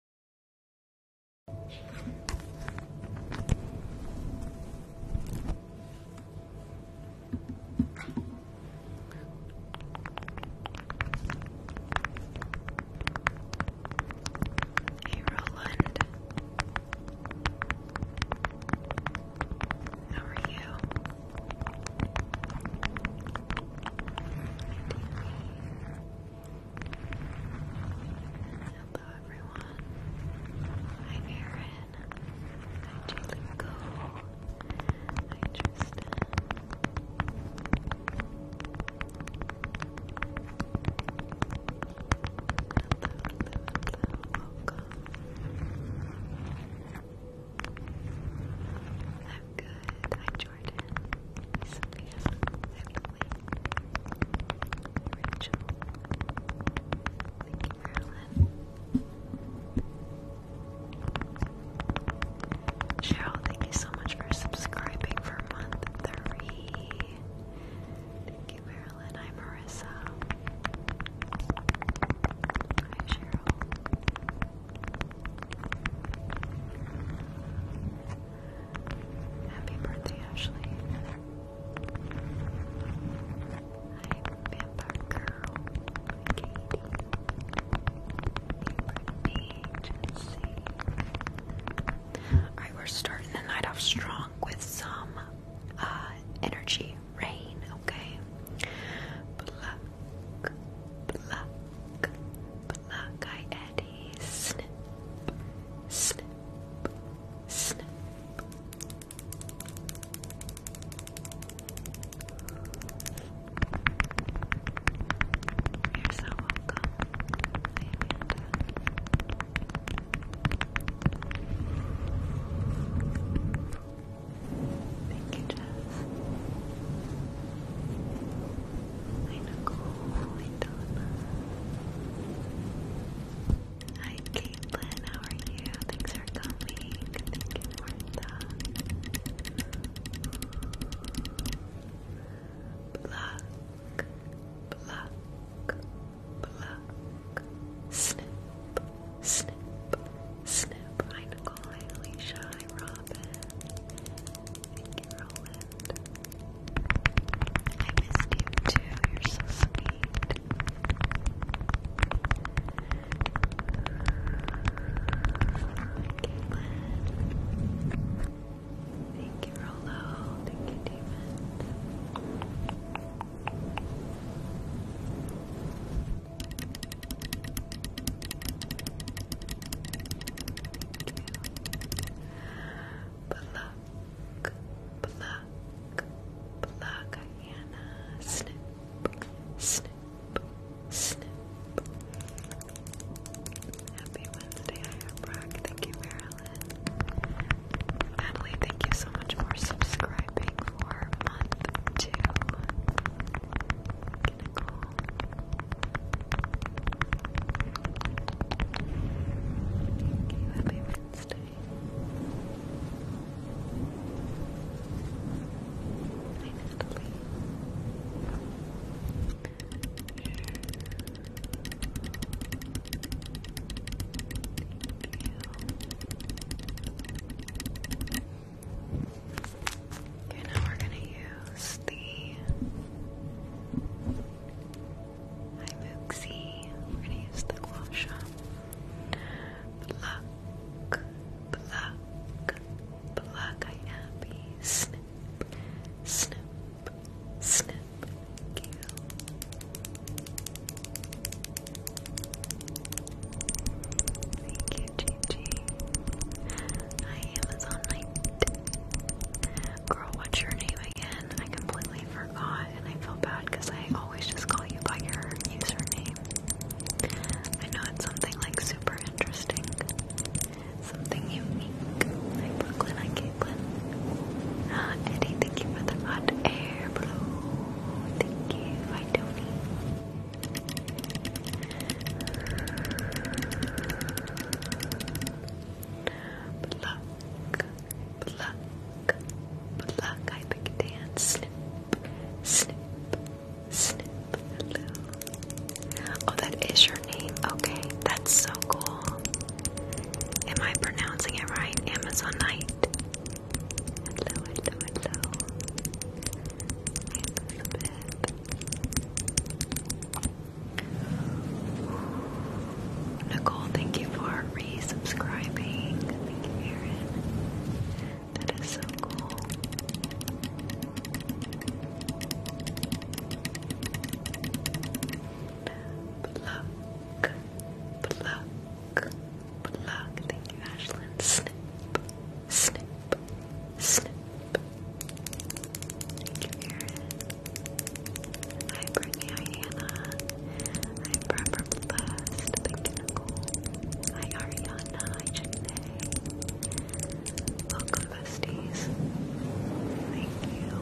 Hey Roland, how are you? Hello everyone. I'm I'm Julie Go. I'm Hello, hello, hello. Welcome. I'm good. I joined Jordan, thank you, so much for subscribing for month three. Thank you, Marilyn. Hi, Marissa. Hi, Cheryl. Happy birthday, Ashley. Hi, Vampire Girl. Katie. Brittany, Tennessee. Alright, we're starting the night off strong with some uh, energy rain, okay? Ready? Snip, snip, You're so welcome. Thank you, Hi Nicole, hi Donna. Hi Caitlin, how are you? Thanks for coming. Thank you, Martha. Pluck, pluck, Snip, snip, snip. Hi Nicole, hi Alicia, hi Robin. I missed you too. You're so sweet. Thank you, Rolo. Thank you, David. Thank you pluck, pluck, pluck, Hannah. Snip, snip, snip. Happy Wednesday, I Brock. Thank you, Marilyn. Emily, thank you so much for subscribing for month two. Gonna go Thank you, happy Wednesday. Hi, Okay, now we're going to use the Hi Mooksy. We're gonna use the Quasha. Pluck, pluck, pluck. I am Snip, snip, snip. Thank you. Thank you, Gigi. Hi Amazon Night. Girl, what's your name again? I completely forgot and I feel bad because I always just call you by your username. I know it's something like super interesting. Something unique. Hi Brooklyn, hi Caitlin. Uh, ah, Eddie, thank you for the hot air blue. Thank you. Hi Tony. Blah, pluck, pluck. I pick dance. Snip, snip, snip. Hello. Oh, that is your name. Okay, that's so cool. Am I pronouncing it right? Amazon Knight. Hello, hello, hello. Elizabeth. Nicole, thank you for resubscribing. That is so cool. Pluck, pluck, pluck. Thank you, Ashlyn. Snip, snip, snip. I bring Hi, Hannah. Hi, Forever Thank you, Nicole. Hi, Ariana. Hi, Janae. Welcome, besties. Thank you. Think, Thank you.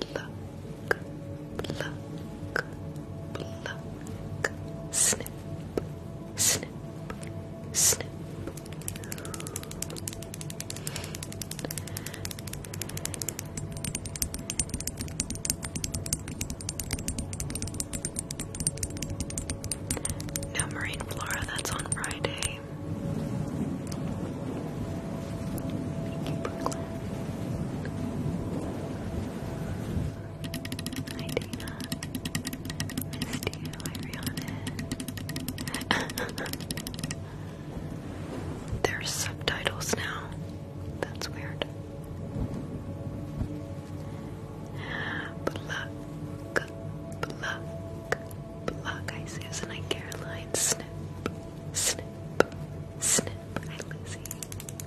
Pluck, pluck, pluck. Snip, snip, snip. No marine flora, that's on Friday. Thank you, Brooklyn. Hi, you. Hi, Rihanna. There's subtitles now. That's weird. Pluck, pluck, pluck, Block Susan and Caroline. Snip, snip, snip. Hi Lizzie.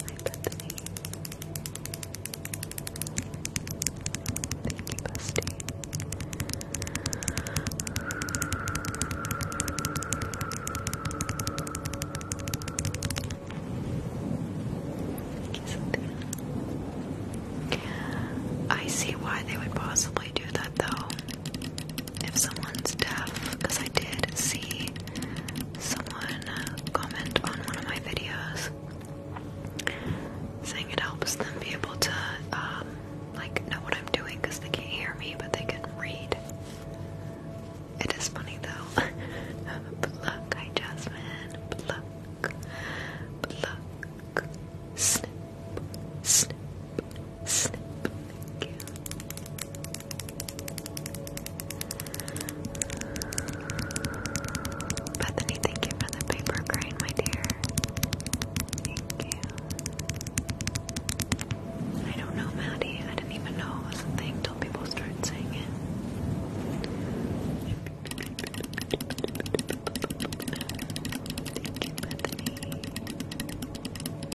Hi Bethany. Thank you, Busty. Thank you, Cynthia. I see why they would possibly do that though if someone's deaf, because I did see someone comment on one of my videos saying it helps them be able to, um, like, know what I'm doing because they can't hear me, but they can read. It is funny though. pluck, hi Jasmine. Pluck, pluck, snip, snip, Snip. Thank you. Bethany, the paper crane, my dear. Thank you. I don't know, Maddie. I didn't even know it was a thing till people started saying it.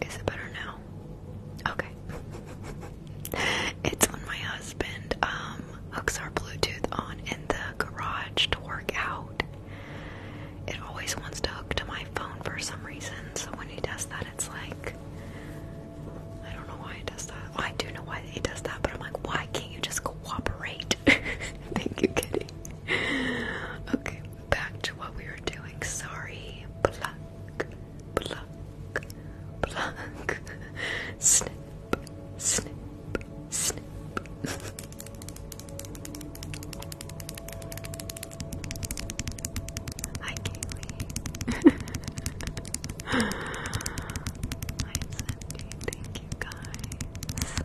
Is it better now? Okay. it's when my husband um hooks our Bluetooth on in the garage to work out it always wants to hook to my phone for some reason, so when he does that, it's like. I don't know why he does that. I do know why he does that, but I'm like, why can't you just cooperate? Thank you, Kitty. Okay, back to what we were doing. Sorry. Pluck, pluck, pluck. Snip, snip, snip. Hi, Kaylee. Hi, Sandy. Thank you, guys.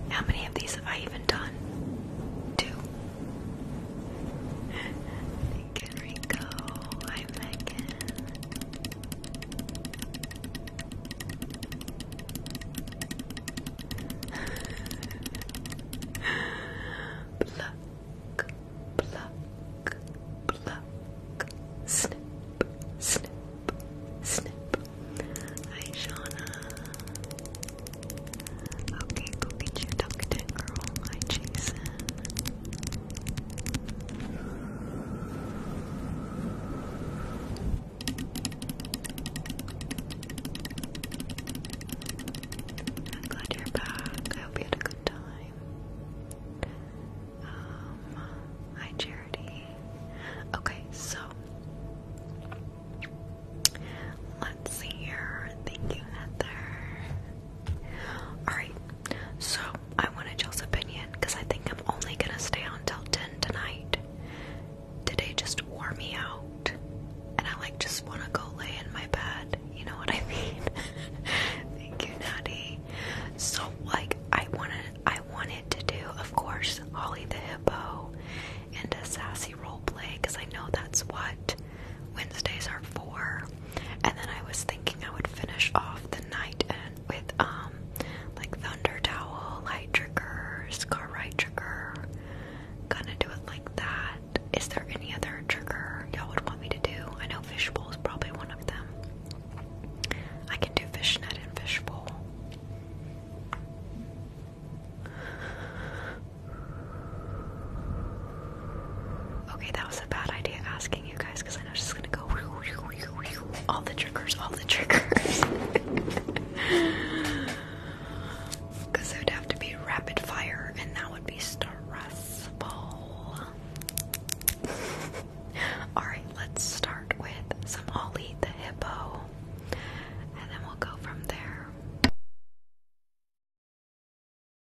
How many of these have I even done? Two. Megan Rico. Hi, Megan. pluck, pluck, pluck. Snip, snip, snip. Hi, Shauna. Okay, go get your duck girl. Hi, Jason. I'm glad you're back. I hope you had a good time. Um, hi, Charity. Okay, so let's see here. Thank you, Heather. All right, so I want y'all's opinion because I think I'm only gonna stay until 10 tonight. Today just wore me out, and I like just wanna go lay in my bed. You know what I mean? Thank you, Natty. So like I wanted, I wanted to do, of course, Holly the Hippo and a sassy role play because I know that's what Wednesdays are for. And then I was thinking I would finish off the night with um like thunder towel, light trigger, scar right trigger. Gonna do it like that. Is there any other trigger y'all would want me to do? I know fishbowl is probably one of them. I can do fishnet and fishbowl. Okay, that was a bad idea asking you guys, because I know she's gonna go all the triggers, all the triggers. Because it would have to be rapid fire, and that would be stressful. Alright, let's start with some Ollie the Hippo, and then we'll go from there.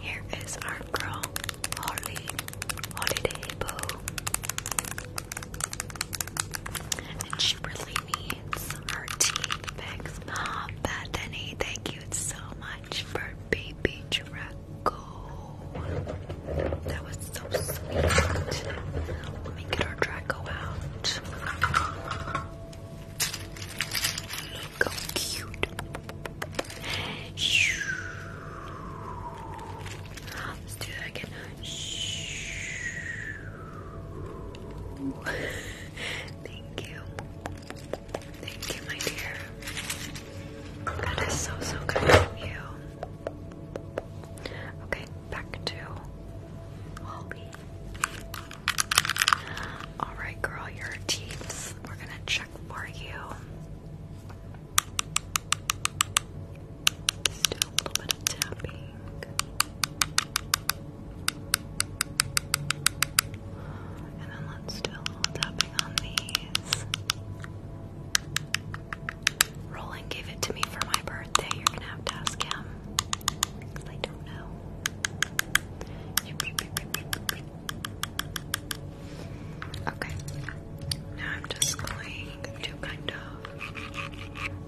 Here is our girl, Holly Holiday Bow. And she really needs her teeth fix. Mom, Bethany, thank you so much for baby Draco. That was so sweet. Let me get our Draco out. Look how cute. Let's do that again. Thank you. Thank you, my dear. That is so, so kind of you. Okay, back to Holly. Alright, girl, your teeth. We're gonna check for you. Let's do a little bit of tapping. And then let's do a little tapping on these. Roland gave it to me for my birthday. You're gonna have to ask him. I don't know. Okay. Now I'm just going to kind of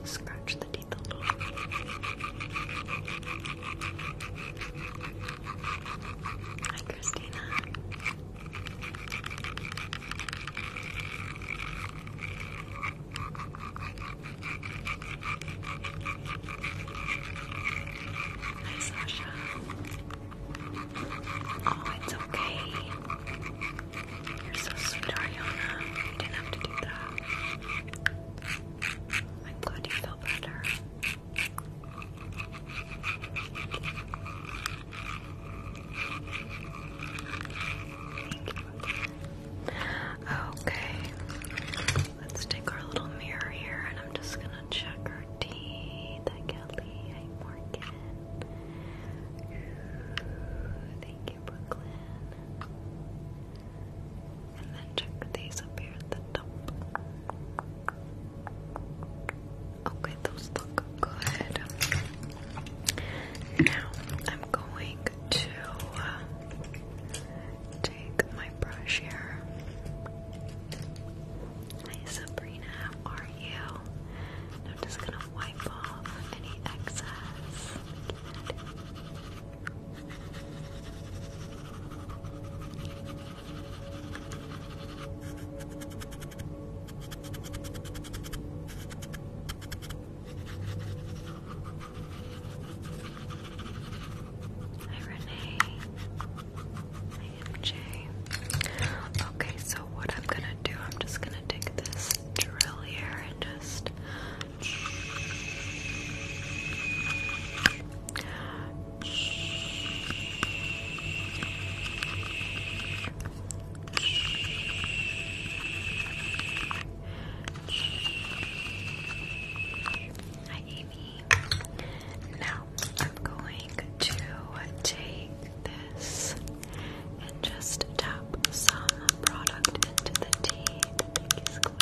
scratch the teeth a little. Hi, Christina. Hi, Sasha. Oh, it's okay. You're so sweet, Ariana. You didn't have to do that. I'm glad you feel better. Okay, let's take our little mirror here and I'm just gonna check our teeth Kelly. Hi, Morgan. thank you, Brooklyn. And then check these up here at the top. Okay, those look good. Now I'm going to uh, take my brush here. Hi, Sabrina are you? I'm just gonna wipe off any excess. Hi Renee. Okay, so what I'm gonna do, I'm just gonna take this drill here and just Hi Amy. Now, I'm going to take this and just tap some product into the tea. Thank you, Squid.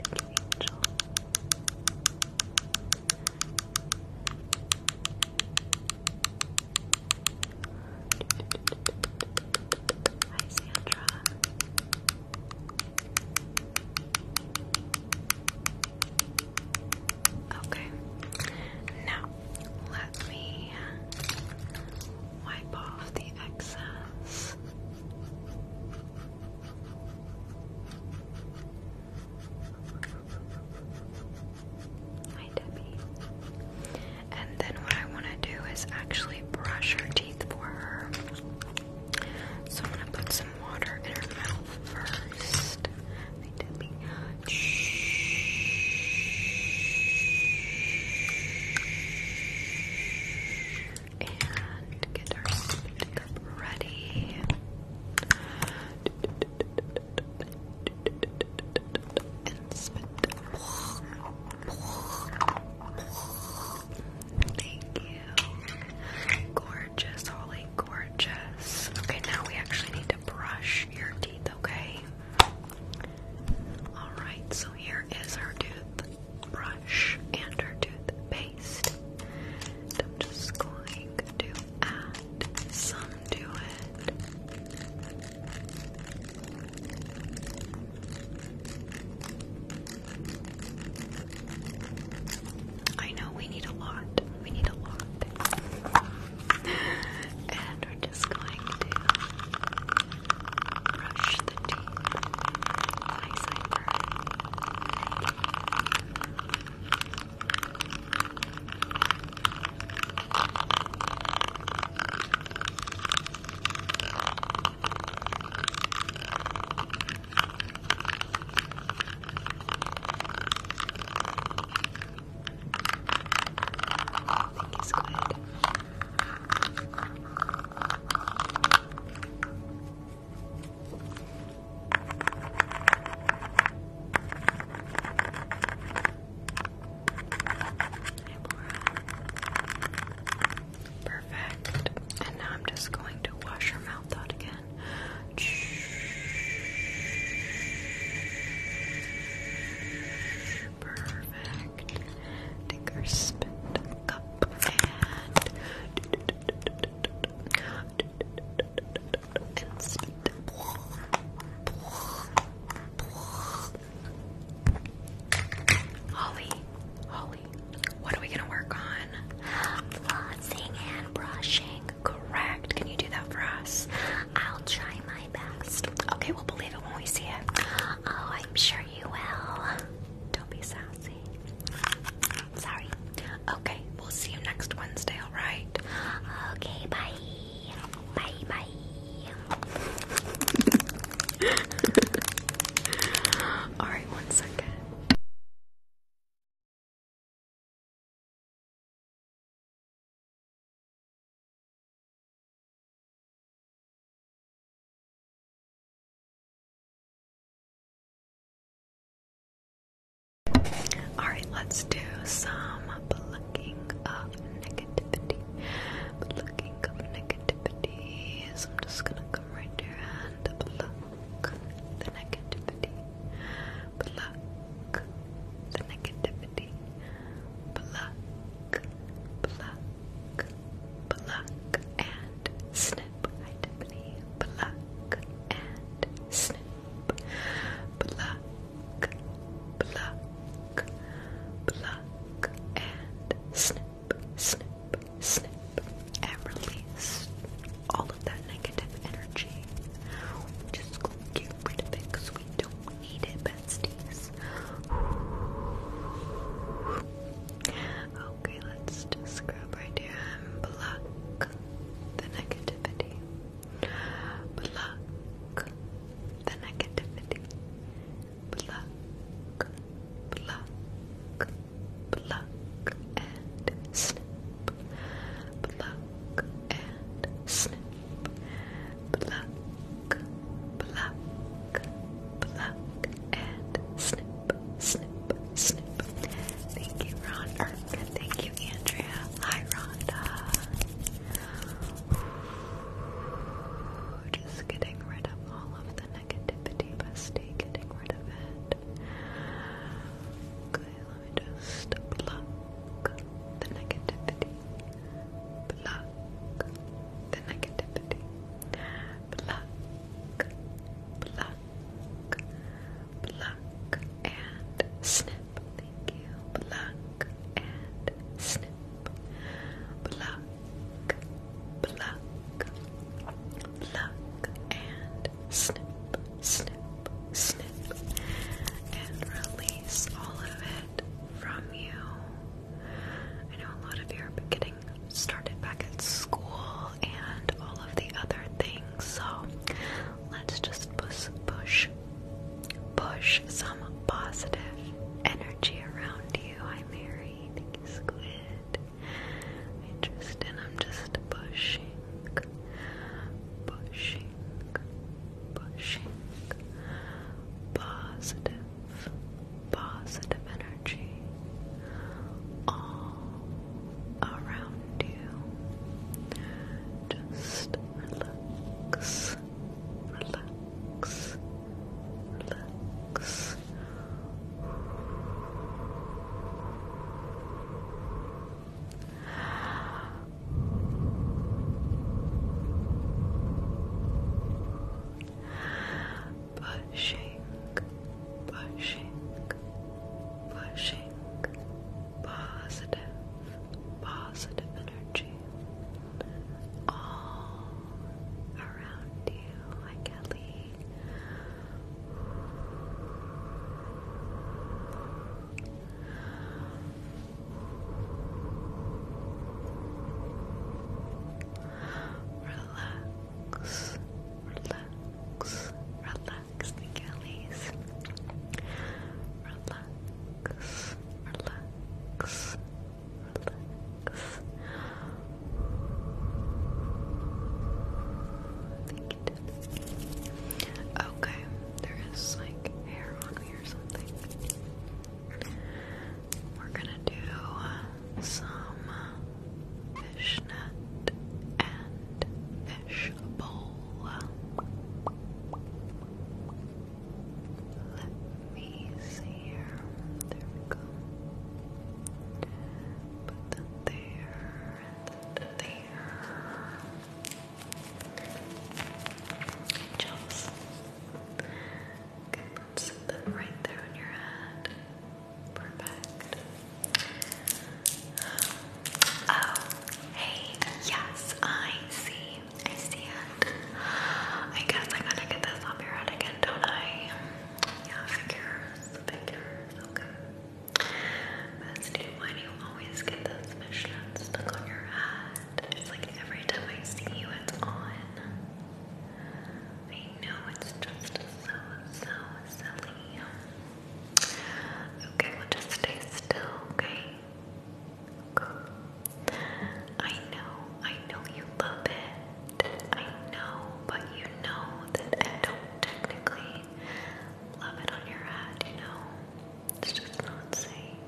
Thank you, Angel. Hi, Sandra. Okay. Now, let me wipe off the excess. Hi, Debbie. And then what I want to do is actually brush her teeth for her. So I'm going to put some water in her mouth first. Hi, Debbie. And get our cup ready. Thank you. Gorgeous, holy gorgeous. Okay, now we actually need to brush your teeth, okay? Alright, so here is her tooth and her toothpaste. I'm just going to add some to it. I know we need a lot. We need a lot and we're just going to brush the teeth nice and I think Perfect. And now I'm just going to wash your mouth out again. Perfect. Take our spit cup and and spit. Holly, Holly, what are we gonna work on? Flossing and brushing correct. Can you do that for us? I'll try my best. Okay, we'll believe it when we see it. Oh, I'm sure you will. Don't be sassy. Sorry. Okay, we'll see you next Wednesday, alright? Okay, bye. Bye bye. Alright, one second. Alright, let's do some looking up negativity. Plucking of negativity. So I'm just gonna come right here and pluck the negativity. Pluck the negativity. Kitty. Pluck, pluck, pluck, and snip. Hi, Tiffany. Pluck and snip. Pluck, pluck, pluck, and snip, snip, snip, and release all of that negative energy. Just go get rid of it because we don't need besties. Okay, let's scrub right here and block the negativity. Block the negativity. Block, block, block, and snip. Block, and snip, pluck, pluck, pluck and snip, snip, snip. Thank you, Ron. thank you, Andrea. Hi, Rhonda. just getting rid of all of the negativity, bestie. Getting rid of it just pluck the negativity. Pluck the negativity. Pluck, pluck, pluck, and snip. Thank you. Pluck and snip. Pluck, pluck, pluck, and snip, snip, snip, and release all of from you. I know a lot of you are getting started back at school and all of the other things, so let's just push, push, push some positive energy around you. Hi, Mary. Thank you, Squid. Interesting. I'm just pushing, pushing pushing, positive energy all around you. Just relax, relax, relax. Pushing, pushing, pushing positive, positive energy all around you, like Ellie. Relax, relax, relax the Relax, relax, relax. Okay, there is like hair on we're gonna do some fishnet and fish bowl. Let me see here. There we go. Put that there and that there. Angels. Okay, let's sit them right there on your head. Perfect. Oh, hey, yes, I see. I see it. I guess I gotta get this off your head again, don't I? Yeah, figures, figures, okay. Bestie, why do you always get those missions stuck on your head? It's like every time I see you, it's on. I know it's just so, so silly. Okay, we'll just stay still, okay? Okay. I know, I know you love it. I know, but you know that I don't technically love it on your head, you know? It's just not safe.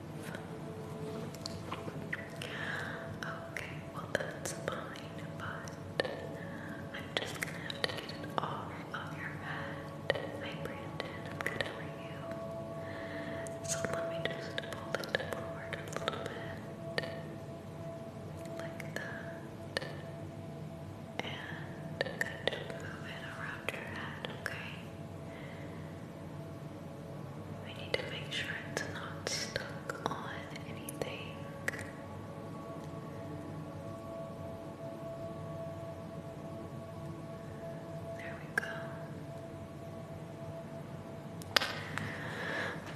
Okay, well that's fine, but I'm just gonna have to get it off of your head. Hi Brandon, I'm good, how are you? So let me just pull it forward a little bit. Like that. And kind of move it around your head, okay? We need to make sure it's not stuck on anything. There we go.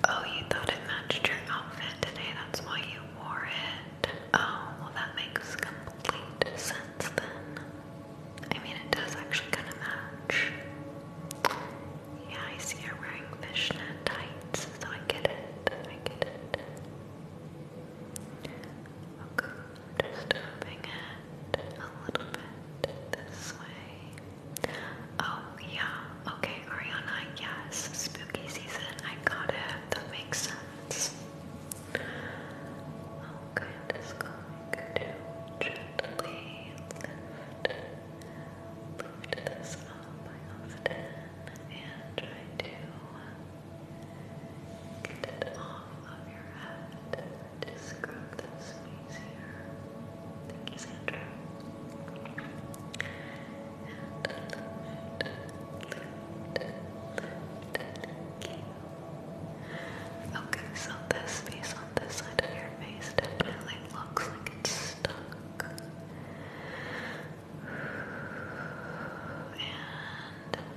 Oh, you thought it matched your outfit today, that's why you wore it. Oh, well, that makes complete sense then. I mean, it does actually kind of match. Yeah, I see you're wearing fishnet tights, so I get it. I get it. Okay, just moving it a little bit this way. Oh, yeah. Okay, Ariana, yes. Spooky season. I got it. That makes sense. Okay, oh, just going to gently lift, lift this up. I often and try to get it off your head to scrub this piece here. Thank you, Sandra. Okay, so this piece on this side of your face definitely looks like it's stuck. And I'm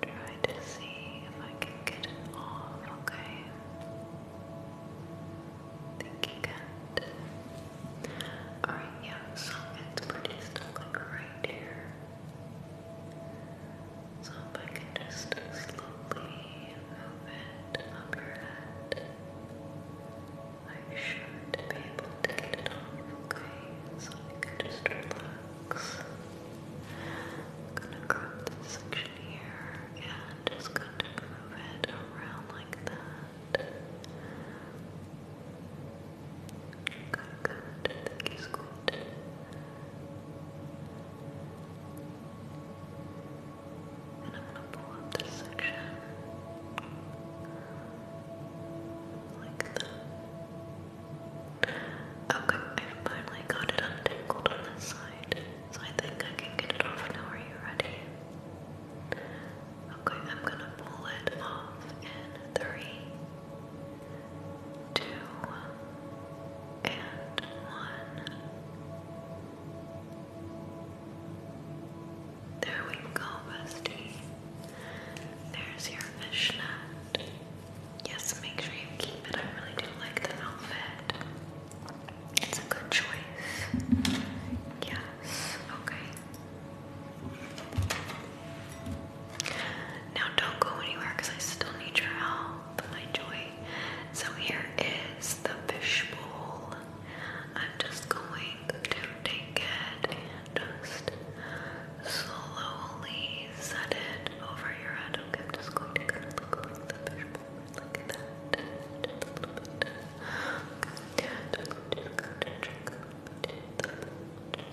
going to try to see if I can get it off, okay? Think you can. Alright, yeah, so it's pretty stuck right here. So if I can just slowly move it up your head, I should be able to get it off, okay? So you can just relax. gonna grab this section here and just kind of move it around like that. Good, good. Thank and I'm gonna pull up this section Okay, I finally got it untangled on this side, so I think I can get it off now. Are you ready? Okay, I'm gonna pull it off in three, two and one. There we go, bestie. There's your fishnet. Yes, make sure you keep it. I really do like the outfit. It's a good choice. Yes, okay. Now, don't go anywhere I still need your help, my joy. So, here is the fishbowl. I'm just going to take it and just slowly set it over your head. Okay, just going to look like the fishbowl, like that. Just a little bit. Okay. Just, just, just, just, just, just, just,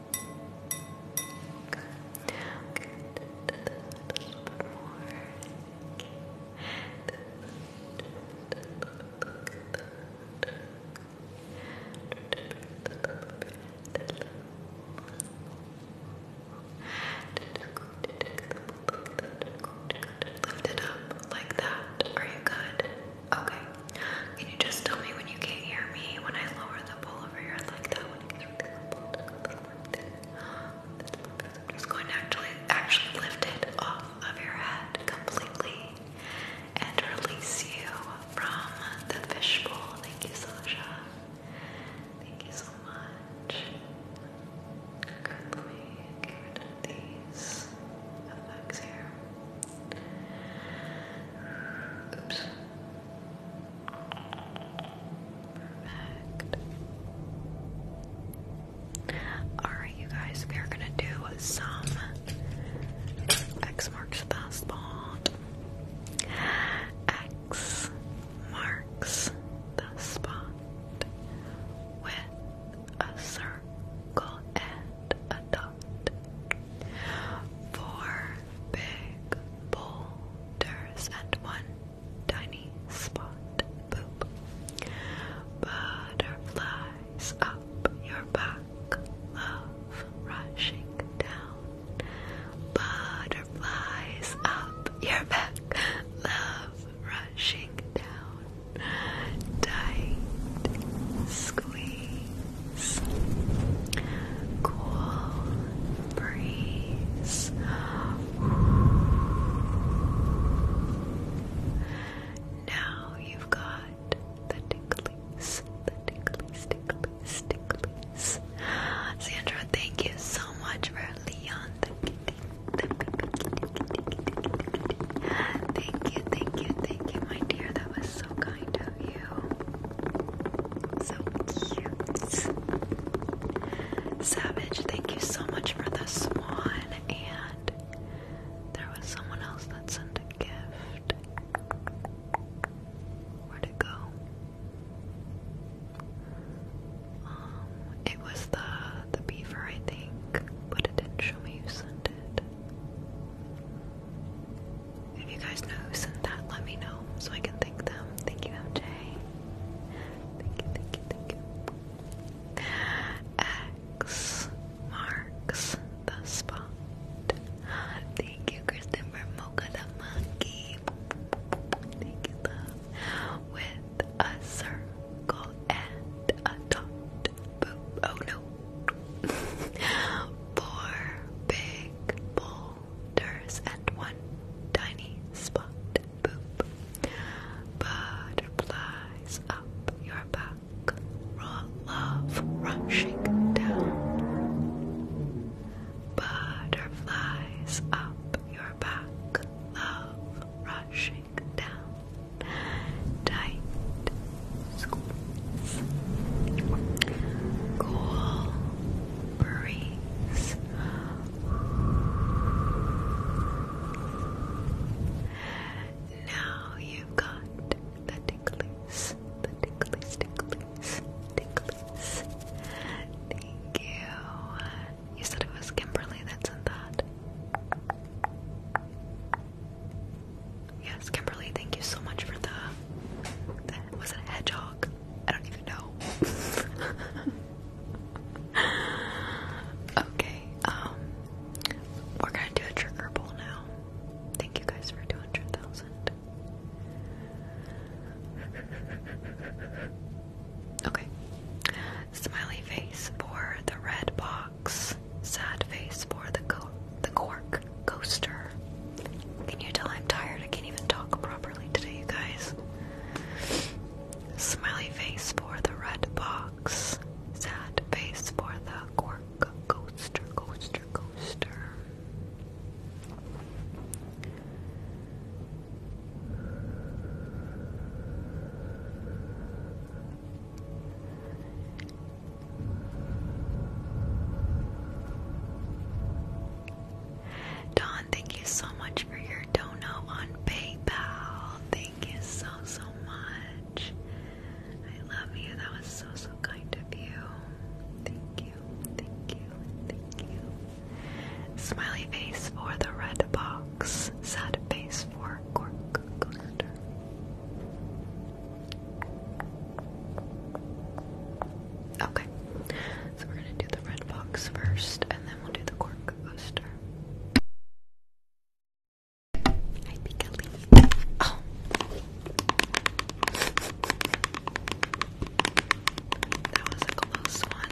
Lift it up like that. Are you good? Okay. Can you just tell me when you can't hear me when I lower the bowl? all over here. I like that one. It's going to actually, actually lift it off of your head completely and release you from the fishbowl. Thank you, Sasha. Thank you so much. Okay, let me these effects here. Oops. Perfect. Alright, you guys, we are gonna do some X marks the spot. X marks the spot with a circle and a dot. For big boulders and one tiny spot poop. Butterflies up your back, love rushing down. Butterflies up your back, love rushing down. Tight squeeze cool breeze. Now you've got the ticklies, the ticklies, ticklies, ticklies. Sandra, thank you so much for Leon Thank you, thank you, thank you, my dear. That was so kind of you. So cute. Savage, thank you so much for the swan. And there was someone else that sent a gift. Where'd it go? Um, it was the the beaver, I think, but it didn't show me who sent it. If you guys know who sent that, let me know so I can thank them. Thank you, Jay. X marks the spot. Thank you, Kristen, for Mocha the Monkey. With a circle and a dot. Oh no. Four big balls shoulders and one tiny spot. Boop. Butterflies up your back. love rushing down. Butterflies up your back. Love rushing down. Tight squeeze. Cool breeze. Now you've got the ticklies, the ticklies, ticklies, ticklies. Thank you. You said it was Kimberly that sent that. Yes, Kimberly, thank you so much for the a, was it a hedgehog? I don't even know. okay, um, we're gonna do a trigger pull now. Thank you guys for 200,000. Okay. Smiley face for the red box. Sad face for the the cork coaster. Can you tell I'm tired? I can't even talk properly today, you guys. Smiley face for the red box. Sad face for the cork coaster, coaster, coaster. Don, thank you so much for your dono on PayPal. Thank you so, so much. I love you. That was so, so kind of you. Thank you, thank you, thank you. Smiley face for the red box, sad face for cork Okay. So we're gonna do the red box first and then we'll do the cork coaster. Oh. That was a close one.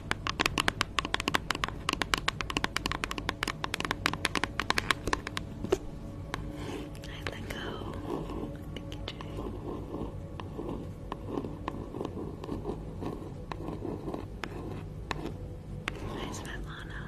I let go. Thank you, Jay. Hi, Svetlana.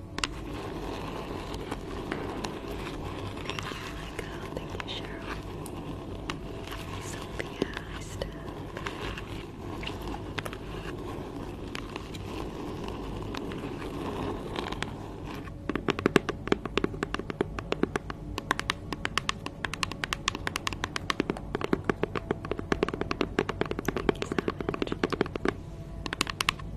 my god, thank you, Cheryl. Sophia, hi, Thank you so much.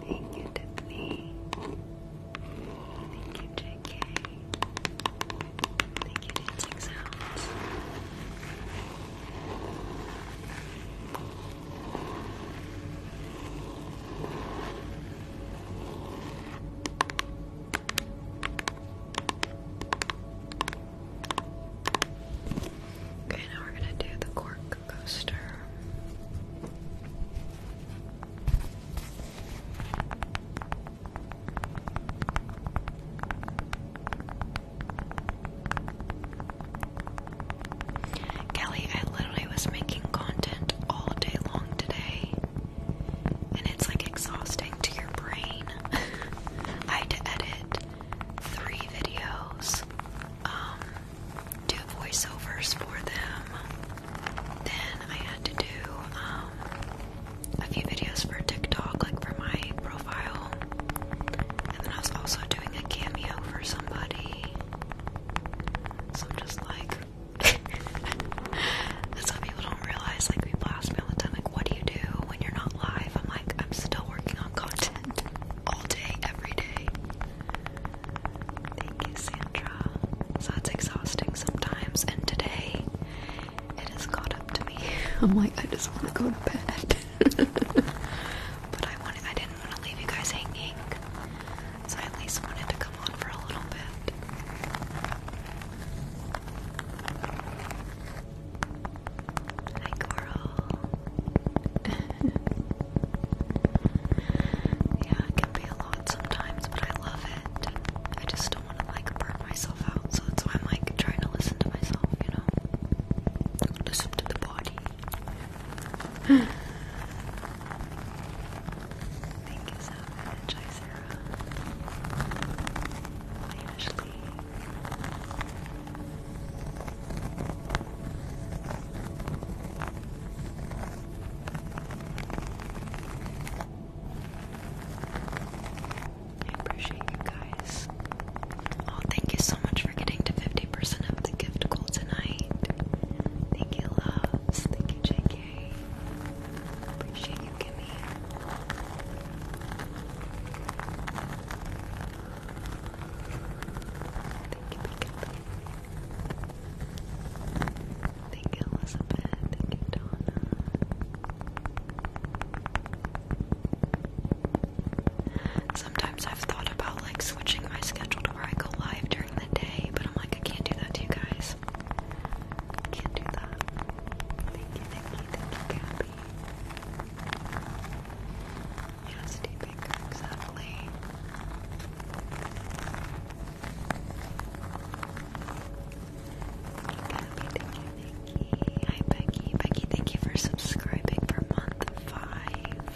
Thank you, Tiffany. Thank you, JK. Thank you, Dancing Okay, now we're gonna do the cork coaster. Kelly, I literally was making content all day long today, and it's like exhausting to your brain. I had to edit three videos, um, do voiceovers for them, then I had to do um, a few videos for TikTok, like for my profile, and then I was also doing a cameo for somebody. So I'm just like, that's what people don't realize. Like people blast me all the time, like, what do you do when you're not live? I'm like, I'm still working on content all day, every day. Thank you, Sandra. So it's exhausting sometimes, and today it has caught up to me. I'm like, I just want to go to bed. but I wanted, I didn't didn't want to leave you guys hanging, so I at least wanted to come on for a little bit. Hi, Coral. yeah, can be a lot sometimes, but I love it. I just don't want to like burn myself out, so that's why I'm like trying to listen to myself, you know? Listen to the body. Thank you so much, hi Sarah. Hi I appreciate you guys. Oh, thank you so much for getting to 50 50 of the gift goal tonight. Thank you, loves. Thank you, JK. Appreciate you, Kimmy. Thank you, Pikachu. Thank you, Elizabeth. Thank you, Donna. Sometimes I've thought about like switching my schedule to where I go live during during the day, but I'm like, I can't do that to you guys. Can't do that. Thank you, Hi, Becky. Becky, thank you for subscribing for month five.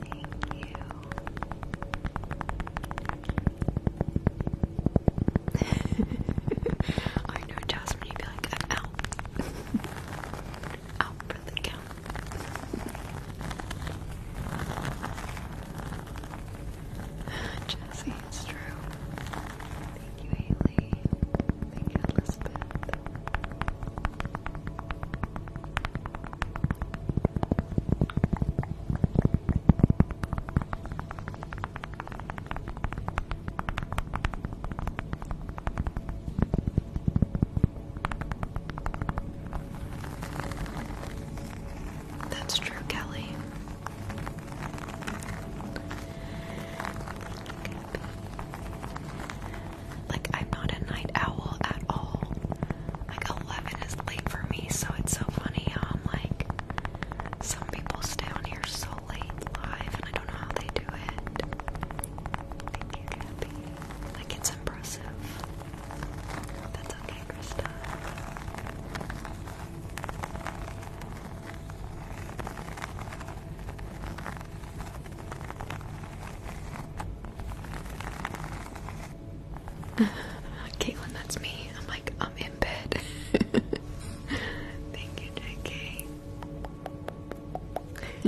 Thank you. I know, Jasmine, you'd be like, out. out for the count. Jesse, it's true. Thank you, Haley. Thank you, Elizabeth. That's true, Kelly. Like, I'm not a night owl at all. Like, 11 is late for me, so it's so funny I'm like, some people stay on here so late live, and I don't know how they do it. Thank you, Gabby. Like, it's impressive. That's okay, Krista. Caitlin, that's me. I'm like, I'm in bed. Thank you, JK.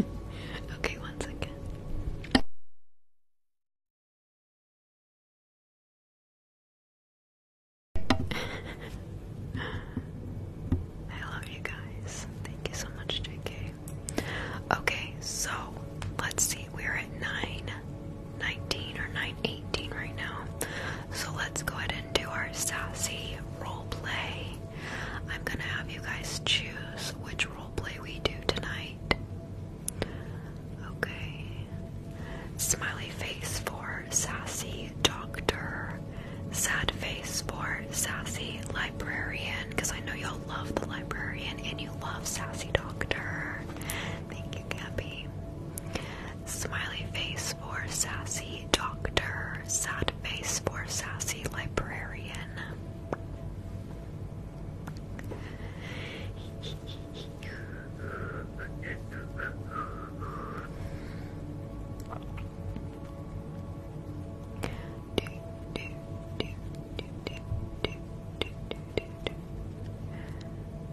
okay, one second. I love you guys. Thank you so much, JK. Okay. so let's see. We're at 9 19 or 9 right now. So let's go ahead and do our sassy role play. I'm gonna have you guys choose which role play we do tonight. Okay. Smiley face for sassy doctor. Sad face for sassy librarian, because I know y'all love the librarian and love Sassy Doctor. Thank you, Gabby. Smiley face for Sassy Doctor. Sad face for Sassy Librarian.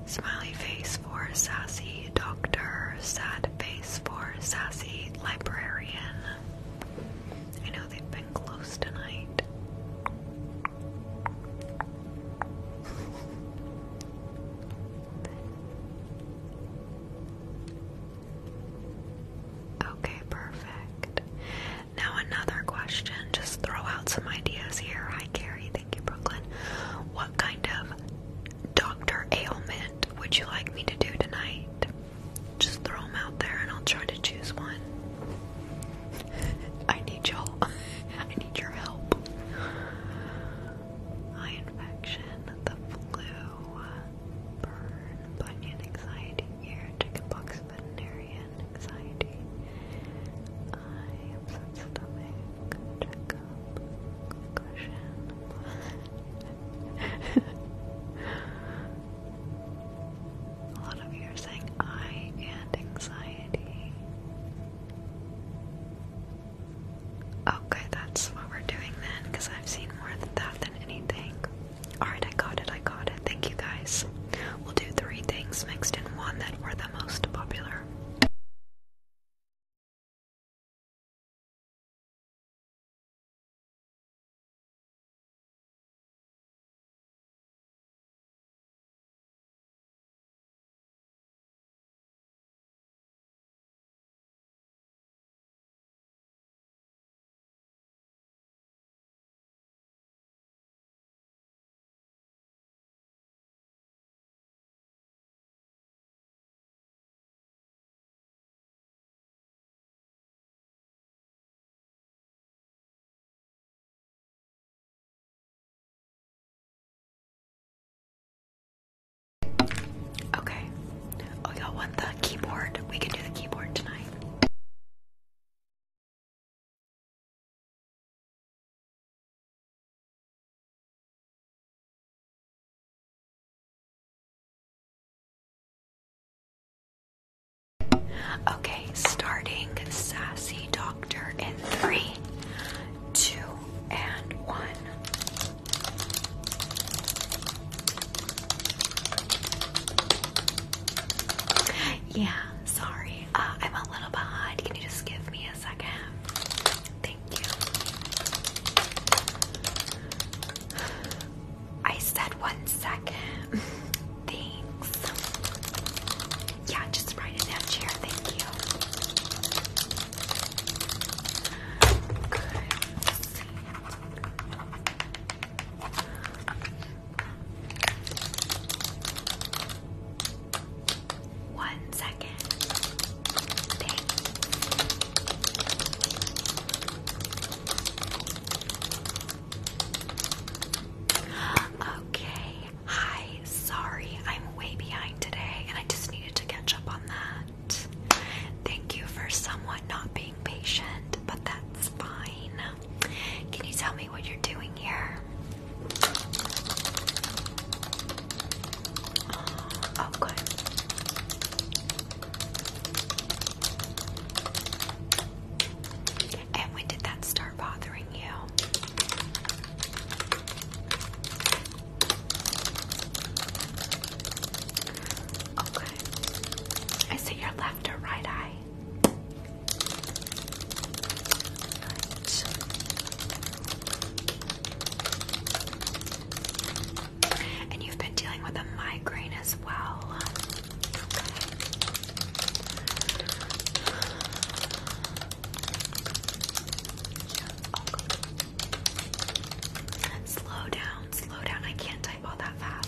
Smiley face for sassy doctor, sad face for sassy librarian. I know they've been close tonight. Okay, perfect. Now, another question. Just throw out some ideas here. Hi, Carrie. Thank you, Brooklyn. What kind of doctor ailment would you like me to do tonight? Just throw them out there and I'll try to choose one. I need y'all. I need your help. Eye infection, the flu, burn, bunion, anxiety, ear, chickenpox, veterinary worry and anxiety. I am upset stomach, checkup, concussion. A lot of you are saying I and anxiety. Okay, that's what we're doing then, because I've seen more than that than anything. Alright, I got it, I got it. Thank you guys. We'll do three things mixed in one that were the most popular. Okay. Oh, y'all want the keyboard? We can do the keyboard tonight. Okay, starting Sassy Doctor in three, two, and one. Yeah, sorry. Uh, I'm a little behind. Can you just give me a second? Thank you. I said one second. Thanks. Yeah, just right in that chair. Thank you. Good. One second. Thanks. Okay. Hi. Sorry, I'm way behind today, and I just needed to catch up on that. Thank you for somewhat not being patient, but that's fine. Can you tell me what you're doing here? Uh, okay. Oh, and when did that start bothering you? Okay. Oh, I see your left or right eye. And you've been dealing with a migraine as well. Okay. Slow down, slow down. I can't type all that fast.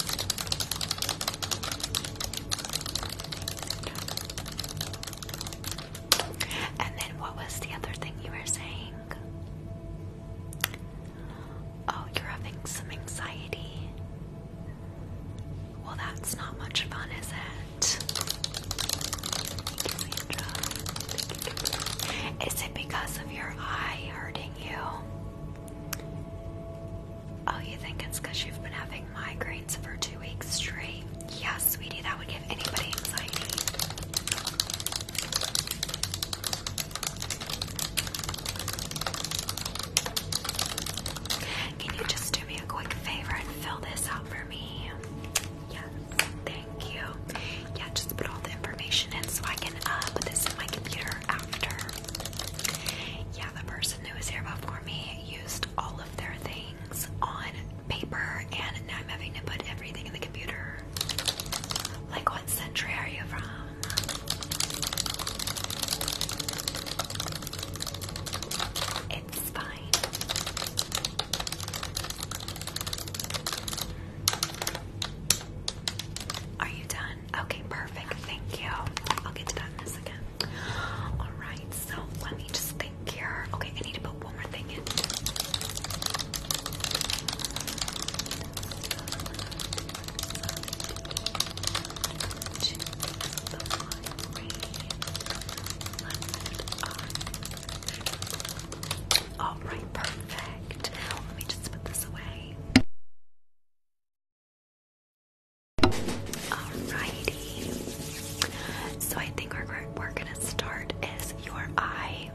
And then what was the other thing you were saying? Oh, you're having some anxiety. Well, that's not much fun, is it? Is it because of your eye hurting you? Oh, you think it's because you've been having migraines for two weeks straight? Yeah, sweetie, that would give anybody anxiety. Can you just do me a quick favor and fill this out for me? Yes, thank you. Yeah, just put all the information in so I can uh, this in my computer after. Yeah, the person who was here before me used all their things on paper, and now I'm having to put everything in the computer. Like, what century are you from? It's fine. Are you done? Okay, perfect. Thank you. I'll get to that in Alright, so let me just think here. Okay, I need to put one more thing in. Alright, perfect. Let me just put this away. Alrighty. So I think we're, we're gonna start is your eye.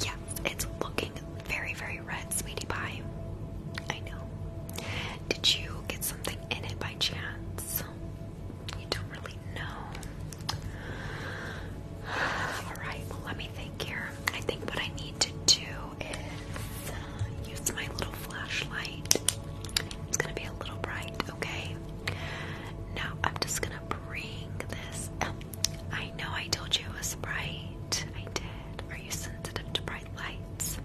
Yes, it's looking very, very red, sweetie pie. I know. Did you get something in it by chance? You don't really know. Alright, well, let me think here. I think what I need to do is uh, use my little flashlight. It's gonna be a little bright, okay? Now I'm just gonna bring this. I know I told you it was bright. I did. Are you sensitive to bright lights?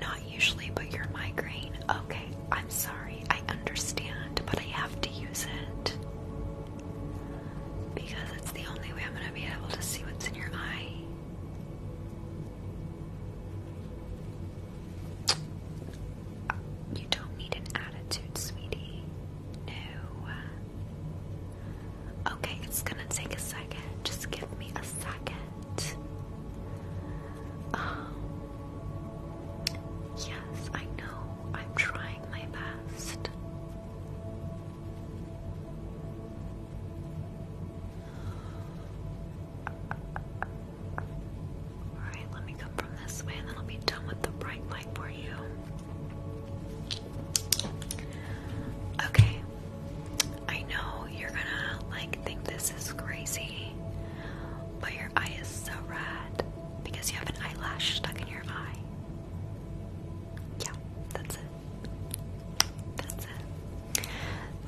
Not usually, but you're migraine. Okay, I'm sorry. I understand, but I have to use it because it's the only way I'm gonna be able to see what's in your eye. You don't need an attitude, sweetie. No. Okay, it's gonna take a second. Just give me a second. Um, yes, I know. I'm trying my best. Alright, let me come from this way and then I'll be done with the bright light for you. Okay, I know you're gonna like think this is crazy, but your eye is so red because you have an eyelash stuck in your eye. Yeah, that's it. That's it.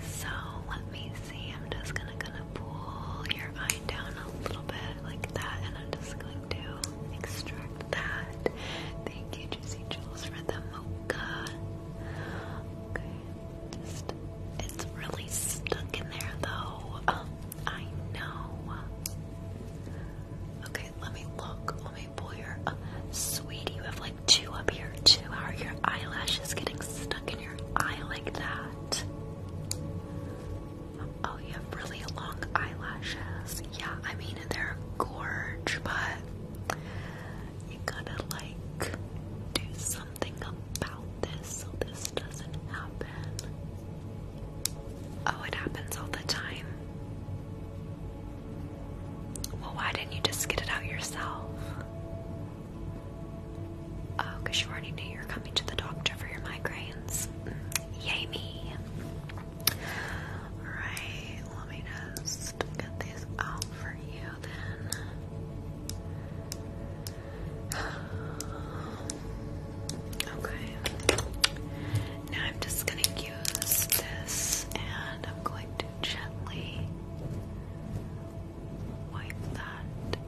So let me see. I'm just gonna gonna pull your eye down a little bit like that, and I'm just going to extract that. Thank you, Juicy Jules, for the mocha. Okay, it's really stuck in there though. Um, I know. Okay, let me look. Let me pull your. Uh, sweetie, you have like Two up here too. are your eyelashes getting stuck in your eye like that? Oh, you have really long eyelashes. Yeah, I mean they're gorge, but you gotta like do something about this so this doesn't happen. Oh, it happens all the time. Well, why didn't you just get it out yourself? Oh, because you already knew you were coming to the doctor for your migraines. Mm, yay me. Alright, let me just get these out for you then. Okay. Now I'm just going to use this and I'm going to gently wipe that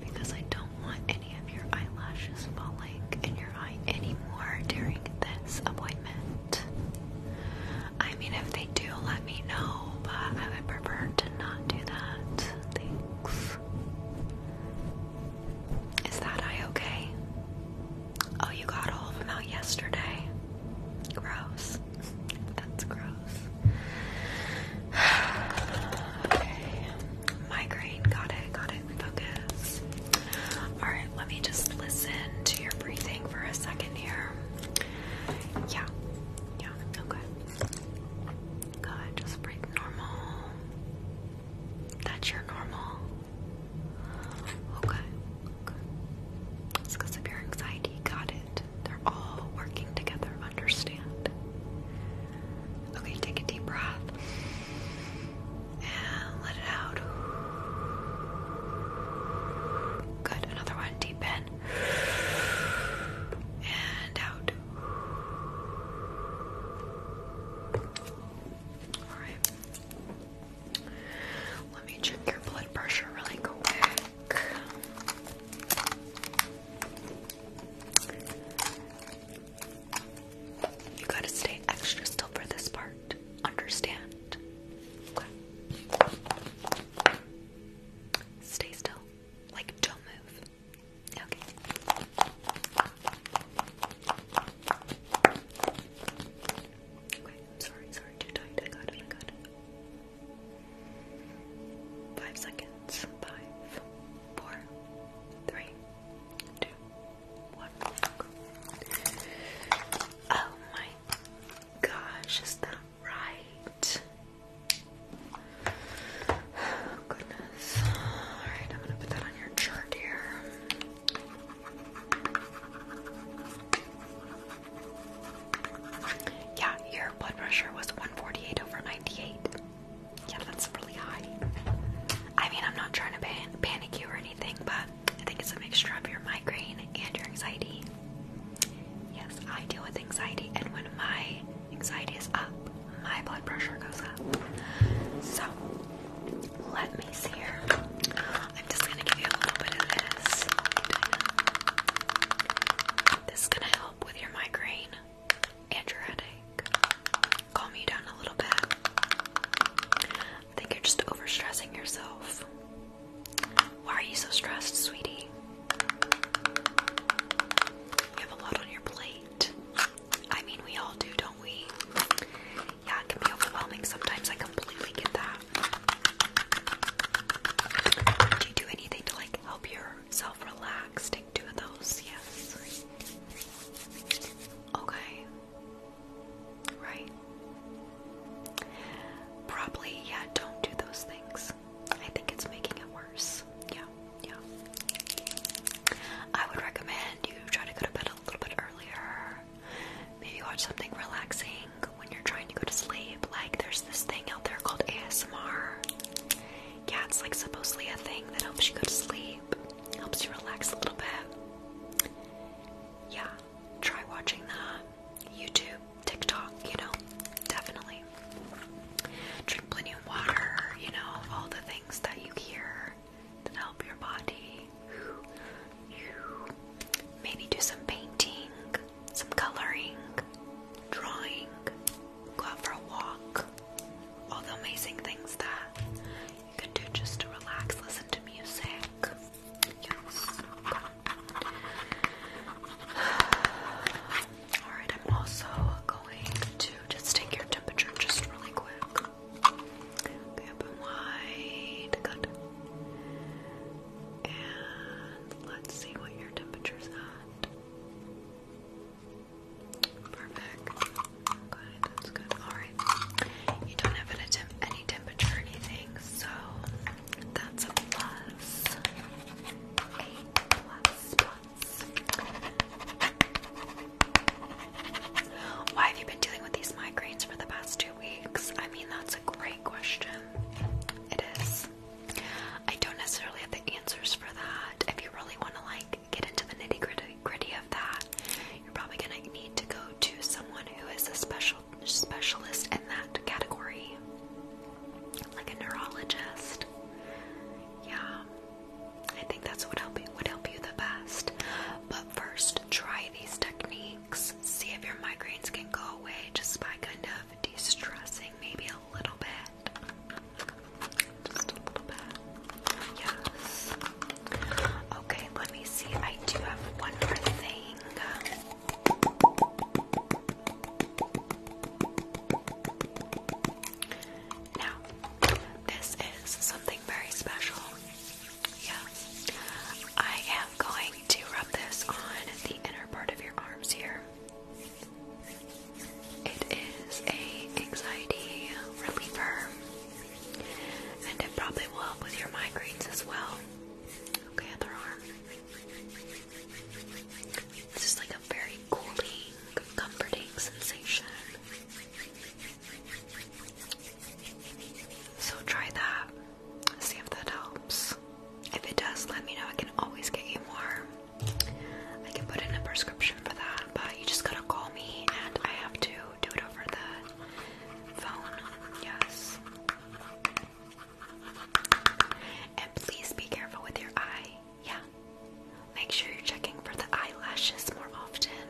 because I don't want any of your eyelashes falling in your eye anymore during this appointment. I mean, if they do, let me know, but I would prefer to not do that. that eye okay? Oh, you got all of them out yesterday. Gross. That's gross. okay. Migraine. Got it. Got it. Focus. Alright, let me just listen to your breathing for a second here. Yeah. Yeah. Okay. Good. Just breathe normal. That's your normal. Okay. okay. It's because of your anxiety. Got it. They're all working together, understand? Okay, take a deep breath. And let it out. Good, another one. Deep in. And out. Alright. Let me check your blood pressure really quick. You gotta stay extra still for this part. Understand? Stay still. Like, don't move. Okay. Okay, sorry, sorry, too tight. I got it, I got it. Five seconds. Five, four, three, two, one. Oh my gosh, is that right? goodness. Alright, I'm gonna put that on your chart here. Yeah, your blood pressure was 148 over 98. Yeah, that's really high. I mean, I'm not trying to panic you or anything, but I think it's a mixture of your migraine and your anxiety. Yes, I deal with anxiety, and when my anxiety is up, my blood pressure goes up. So, let me see here. I'm just gonna give you a little bit of this. This is gonna help with your migraine and your headache. Calm me down a little bit. I think you're just overstressing yourself. Why are you so stressed, sweetie? You have a lot on your plate. I mean, we all do, don't we? Yeah, it can be overwhelming sometimes. I completely get that. Do you do anything to like help your self relax. Take two of those, yes. Okay. Right. Probably, yeah, don't do those things. I think it's making it worse. Yeah, yeah. I would recommend you try to go to bed a little bit earlier. Maybe watch something relaxing when you're trying you go to sleep. Like, there's this thing out there called ASMR. Yeah, it's like supposedly a thing that helps you go to sleep, helps you relax a little bit. Yeah, try watching the YouTube, TikTok, you know, definitely. Drink plenty of water, you know, all the things that you hear that help your body. Maybe do some painting some coloring, drawing, go out for a walk. All the amazing things that you can do just to relax, listen to music. Yes. Alright, I'm also going to just take your temperature just really quick. open wide. Good. And let's see what your temperature's at. Perfect. Good, that's good. Alright. You don't have an any temperature or anything, so that's a plus. Eight plus plus. Why have you been dealing with these migraines for the past two weeks? I mean, that's a great question. It is. I don't necessarily have the answers for that. If you really want to like get into the nitty gritty, gritty of that, you're probably gonna need to go to someone who is a special specialist in that category, like a neurologist. Yeah, I think that's what would help you the best. But first, try these techniques. See if your migraines can go away just by kind of de-stressing maybe a little bit. Okay, let me see. I do have one more thing. Now, this is something very special. Yes. I am going to rub this on the inner part of your arms here. It is a anxiety reliever, and it probably will help with your migraines as well. Okay, other arm. It's just like a very cooling, comforting sensation. So try that. See if that helps. If it does, let me know. I can always get you more. I can put in a prescription for that, but you just gotta call me and I have to do it over the phone. Yes. And please be careful with your eye. Yeah. Make sure you're checking for the eyelashes more often.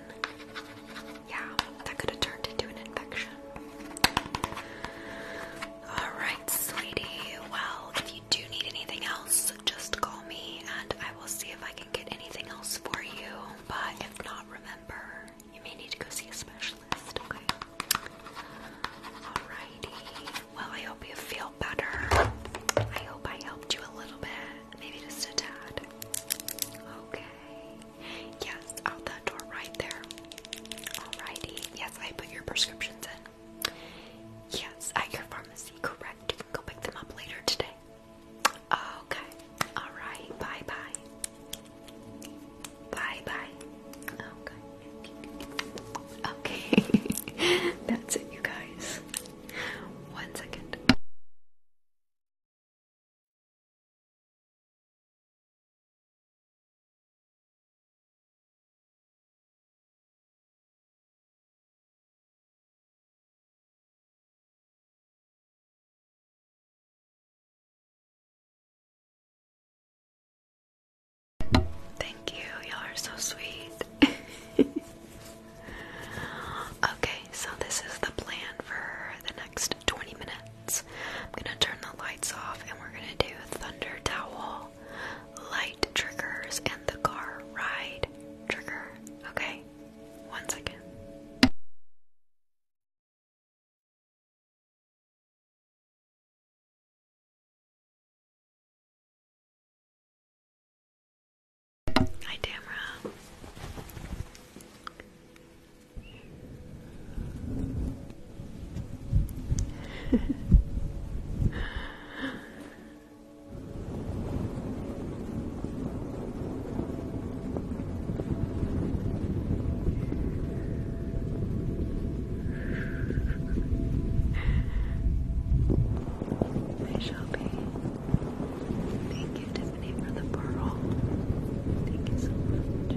Yeah, that could have turned into an infection. Alright, sweetie. Well, if you do need anything else, just call me and I will see if I can get anything else for you. But if not, remember, you may need to go see a specialist, okay? Alrighty. Well, I hope you feel better. I hope I helped you a little bit. Maybe just a tad. Okay. Yes, out that door right there. Alrighty. Yes, I put your prescriptions in. Yes, at your pharmacy, correct. You can go pick them up later today. Okay. Alright, bye bye. Bye bye. Okay. Okay. That's it, you guys. One second. Thank you, y'all are so sweet. okay, so this is the plan for the next 20 minutes. I'm gonna turn the lights off and we're gonna do Thunder Towel light triggers, and the car ride trigger. Okay, one second. Hi, Tamara. I shall be. Thank you, Tiffany, for the pearl. Thank you so much. You.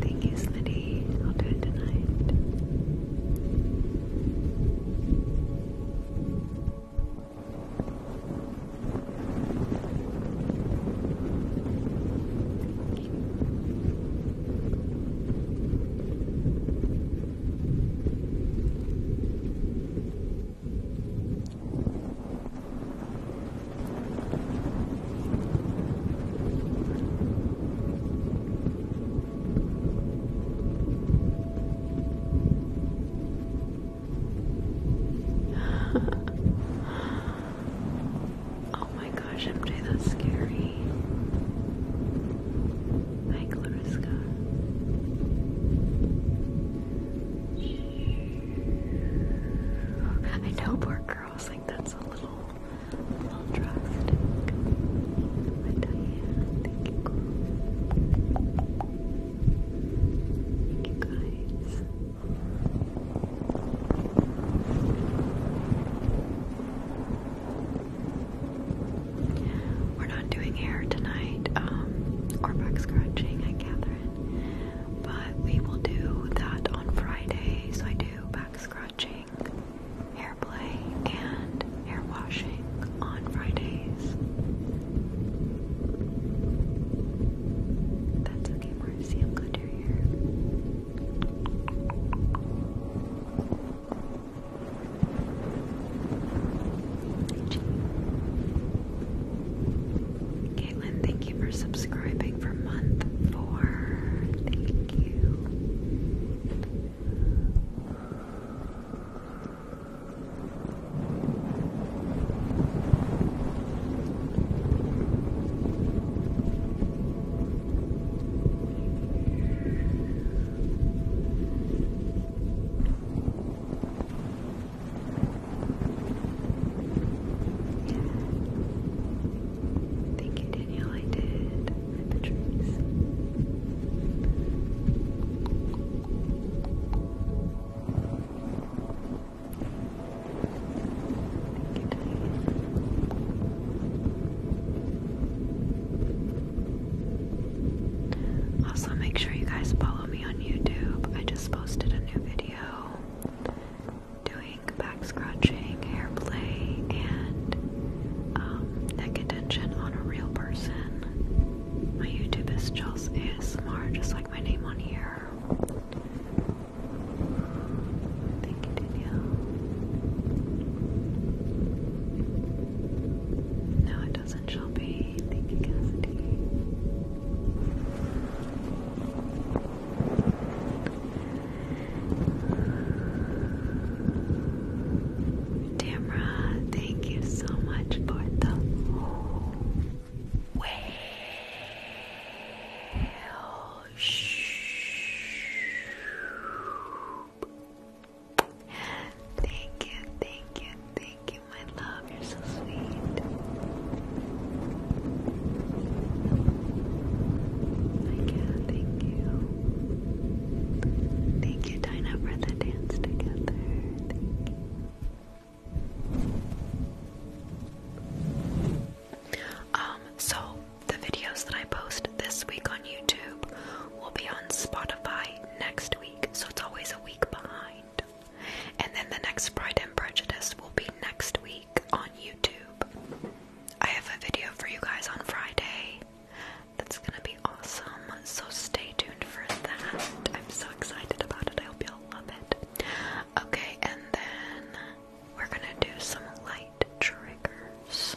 Thank you, Smitty. I'll do it tonight. oh my gosh, MJ, that's scary. I know poor girls think that's a little, a little drastic. thank you, Thank you guys. We're not doing hair tonight, um, or back scratching Catherine, but we will do that on Friday. I do back scratching, hair play, and hair washing on Fridays. That's okay, Marcy. I'm here. Caitlin, thank you for subscribing for month four. Thank you. Thank you, Danielle. I did. Also, make sure you guys follow me on YouTube. I just posted a new video doing back scratching, hair play, and um, neck attention on a real person. My YouTube is Chels ASMR, just like my name on here. Thank you, No, it doesn't. Cousin Shelby. Thank thank you so much for the whale. Thank you, thank you, thank you, my love. You're so sweet. I can thank you. Thank you, Dinah, for the dance together. Um, so the videos that I post this week on YouTube will be on Spotify next so it's always a week behind. And then the next Pride and Prejudice will be next week on YouTube. I have a video for you guys on Friday. That's gonna be awesome, so stay tuned for that. I'm so excited about it. I hope you love it. Okay, and then we're gonna do some light triggers.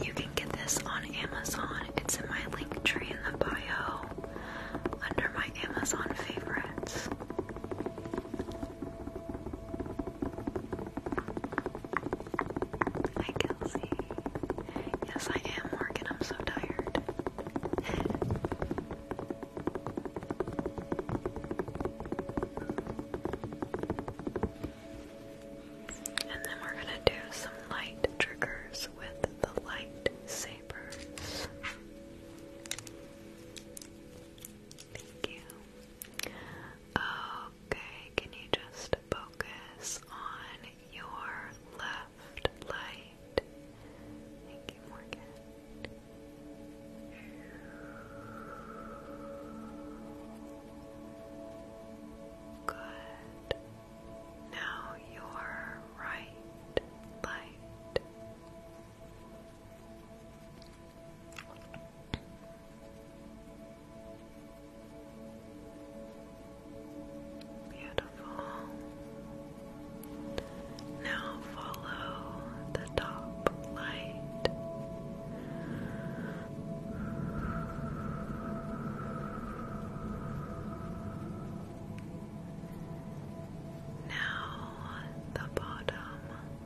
You can get this on Amazon. It's in my link tree in the bio under my Amazon favorites. Hi, Kelsey. Yes, I am, Morgan. I'm so tired. And then we're going to do some light triggers with the light sabers. Thank you. Okay, can you just focus on your left? soft light. Thank you, Morgan. Good. Now your right light. Beautiful. Now follow the top light. Now the bottom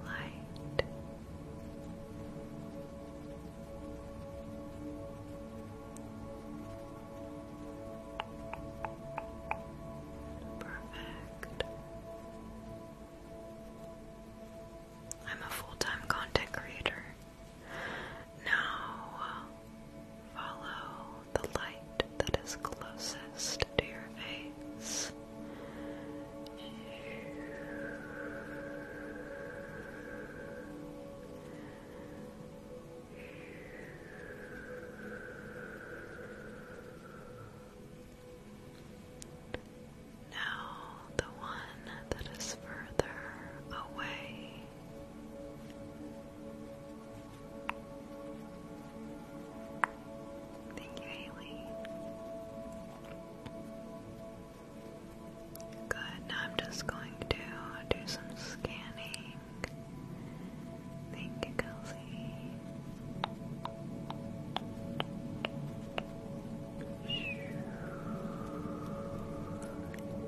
light. Perfect. I'm a full-time content creator. Now follow the light that is closest to your face. Now, the one that is further away. Thank you, Haley. Good, now I'm just going to do some scanning. Thank you, Kelsey.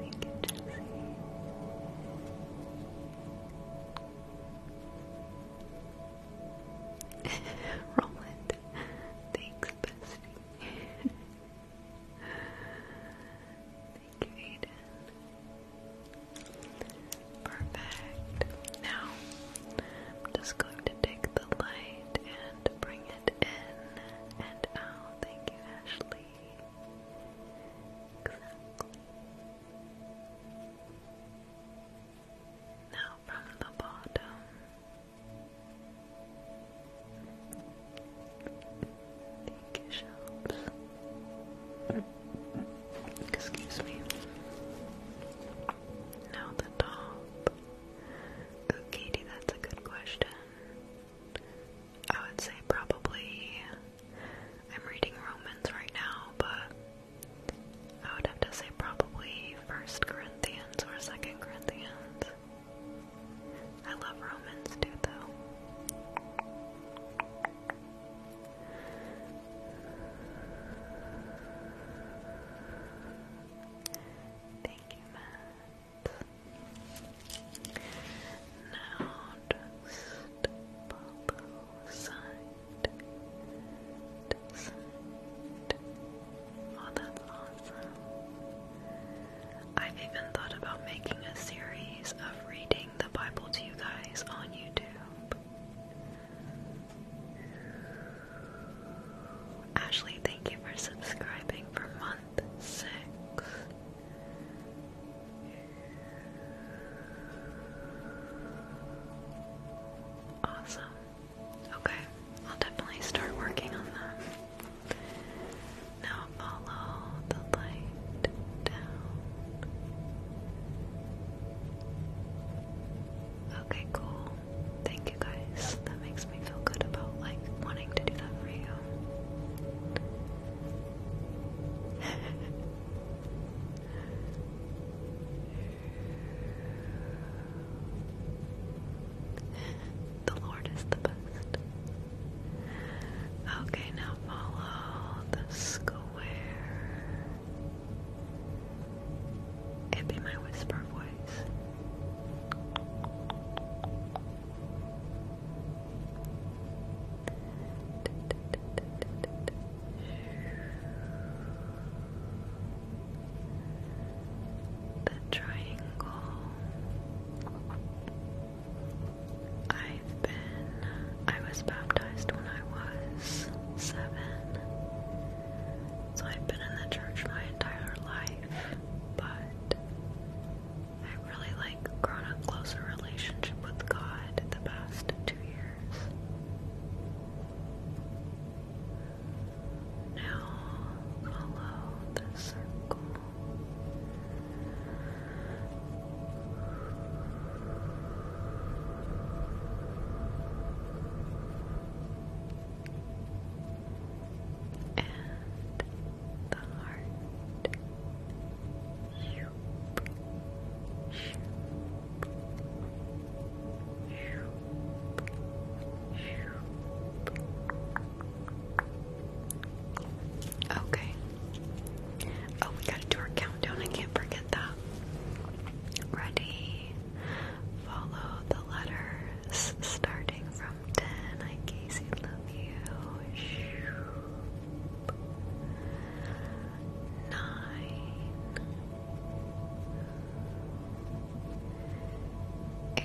Thank you, Jesse. Roland, thanks, bestie. Thank you, Perfect. Now, just going to take the light and bring it in and out. Thank you, Ashley. Exactly. Now from the bottom. Thank you, Shelves. Excuse me. Now the top. Katie, that's a good question. I would say probably. I'm reading Romans right now, but I would have to say probably First Corinthians or Second Corinthians. I love Romans too, though. Thank you, Matt. Now just pop side Oh, that's awesome. I've even thought about making a series of reading the Bible to you guys on YouTube. Ashley, thank you for subscribing for month six. Awesome. Okay, I'll definitely start working on that. Now follow the light down. Okay, cool. Thank you guys. That makes me feel good about like wanting to do that for you. the Lord is the best. Okay, now follow the square. It'd be my whisper voice. The triangle. I've been I was baptized when I was seven. So I've been in the church my entire life, but I really like grown a closer relationship with God the past two years. Now follow the circle. And the heart. Shoop. Shoop. Shoop. Shoop. Okay. Oh, we gotta do our countdown. I can't forget that. Ready? Follow the letters starting from 10. I, Nine. Eight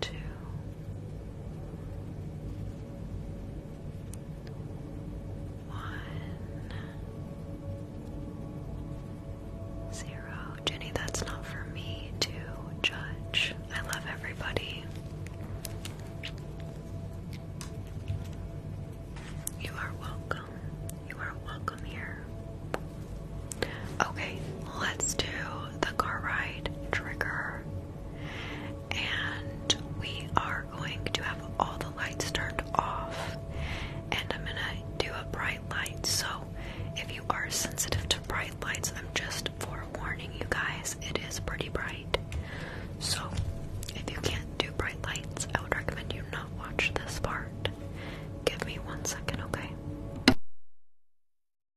two, one, zero. Jenny, that's not for me to judge. I love everybody. You are welcome. You are welcome here. Okay, let's do the car ride trigger. And we are going to have all the lights turned off. And I'm gonna do a bright light. So if you are sensitive to bright lights, I'm just forewarning you guys, it is pretty bright. So if you can't do bright lights, I would recommend you not watch this part. Give me one second, okay?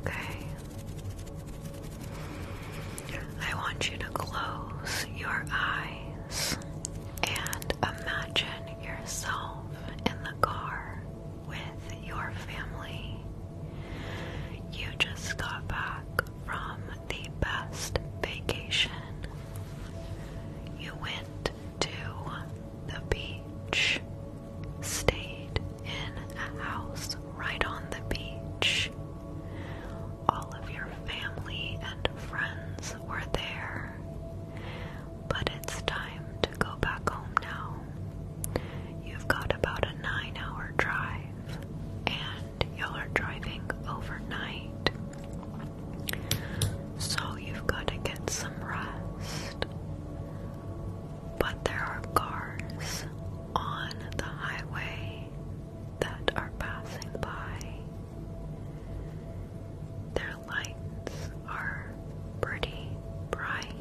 Okay. I want you to close your eyes and imagine yourself in the car with your family you just got back from the best vacation. You went to the beach, stayed in a house right on the beach. All of your family and friends were there. But it's time to go back home now. You've got about a nine hour drive, and y'all are driving overnight. So you've got to get some rest. But there are cars on the highway that are passing by. Their lights are pretty bright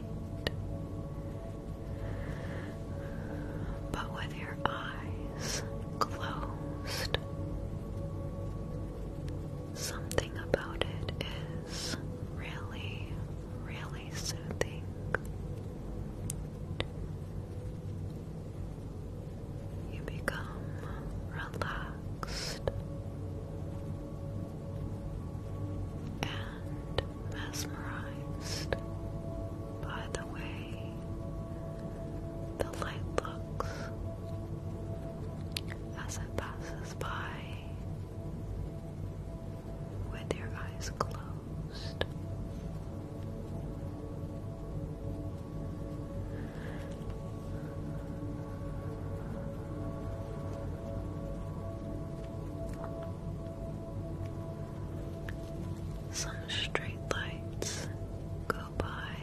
but with your eyes closed. Something about it is really, really soothing. You become relaxed and mesmerized by the way the light looks as it passes by with your eyes closed. Some street lights go by.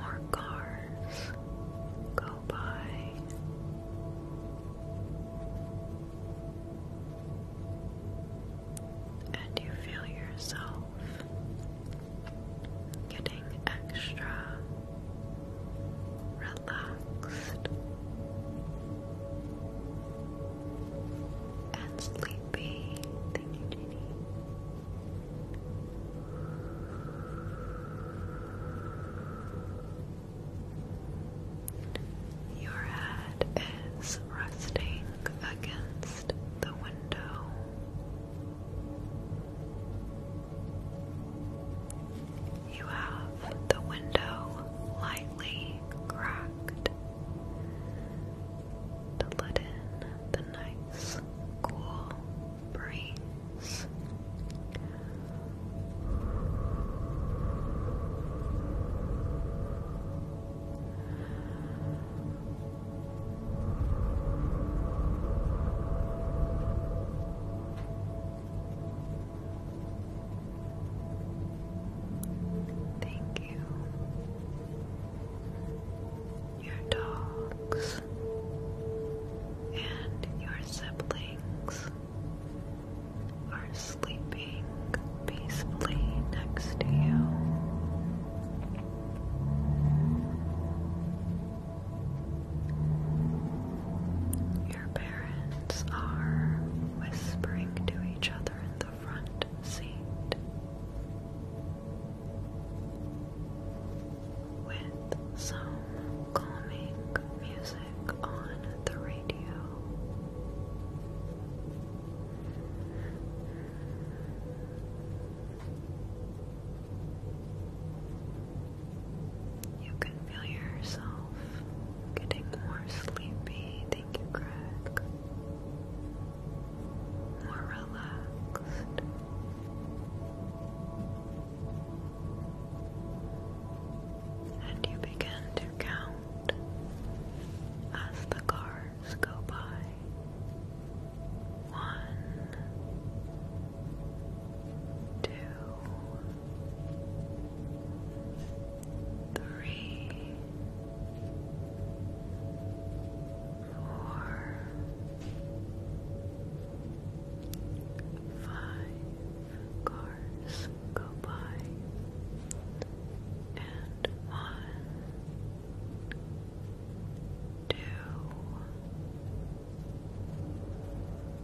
More cars go by and you feel yourself getting extra relaxed and sleepy. Your head is resting against the window. You have the window lightly cracked to let in the nice cool breeze. Thank you. Your dogs and your siblings are sleeping peacefully next to you. Your parents are whispering to each other in the front seat with some calming music on the radio. You can feel yourself getting more sleepy. Thank you, Greg. More relaxed. And you begin to count as the car minutes go by. One, two, three, four, five cars go by, one, two,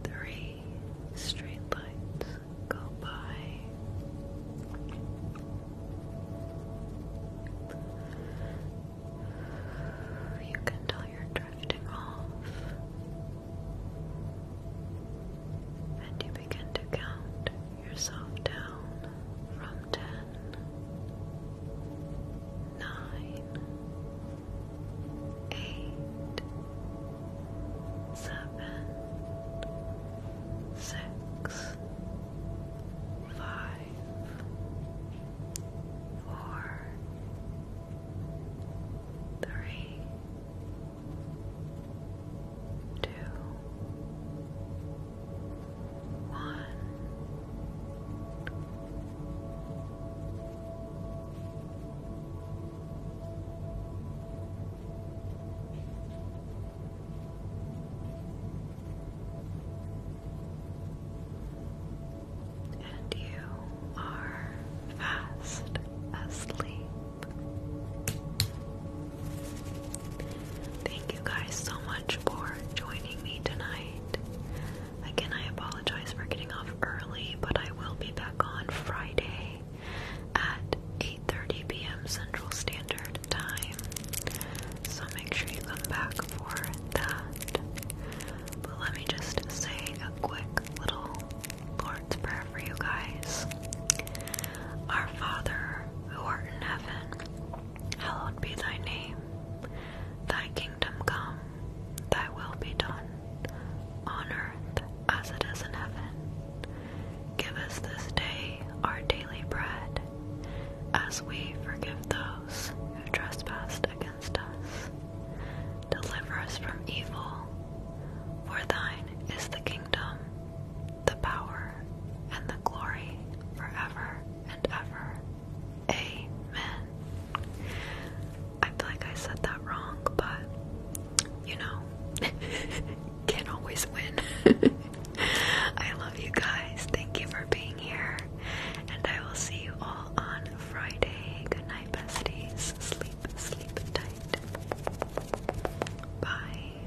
three street lights go by. You can tell you're drifting off, and you begin to count yourself down from ten, nine, eight, seven, six, five, four, three, two, one. And you are fast asleep. Thank you guys so much for joining me tonight. Again, I apologize for getting off early, but I will be back on Friday at 8:30 p.m. Central Standard Time. So make sure you come back for that. But let me just say a quick little Lord's Prayer for you guys. Our Father, who art in heaven, Hallowed be thy name, thy kingdom come, thy will be done, on earth as it is in heaven. Give us this day our daily bread, as we forgive those who trespass against us. Deliver us from evil, for thine is the kingdom, the power, and the glory forever Amen. I feel like I said that wrong, but you know, can always win. I love you guys. Thank you for being here. And I will see you all on Friday. Good night, besties. Sleep, sleep tight. Bye.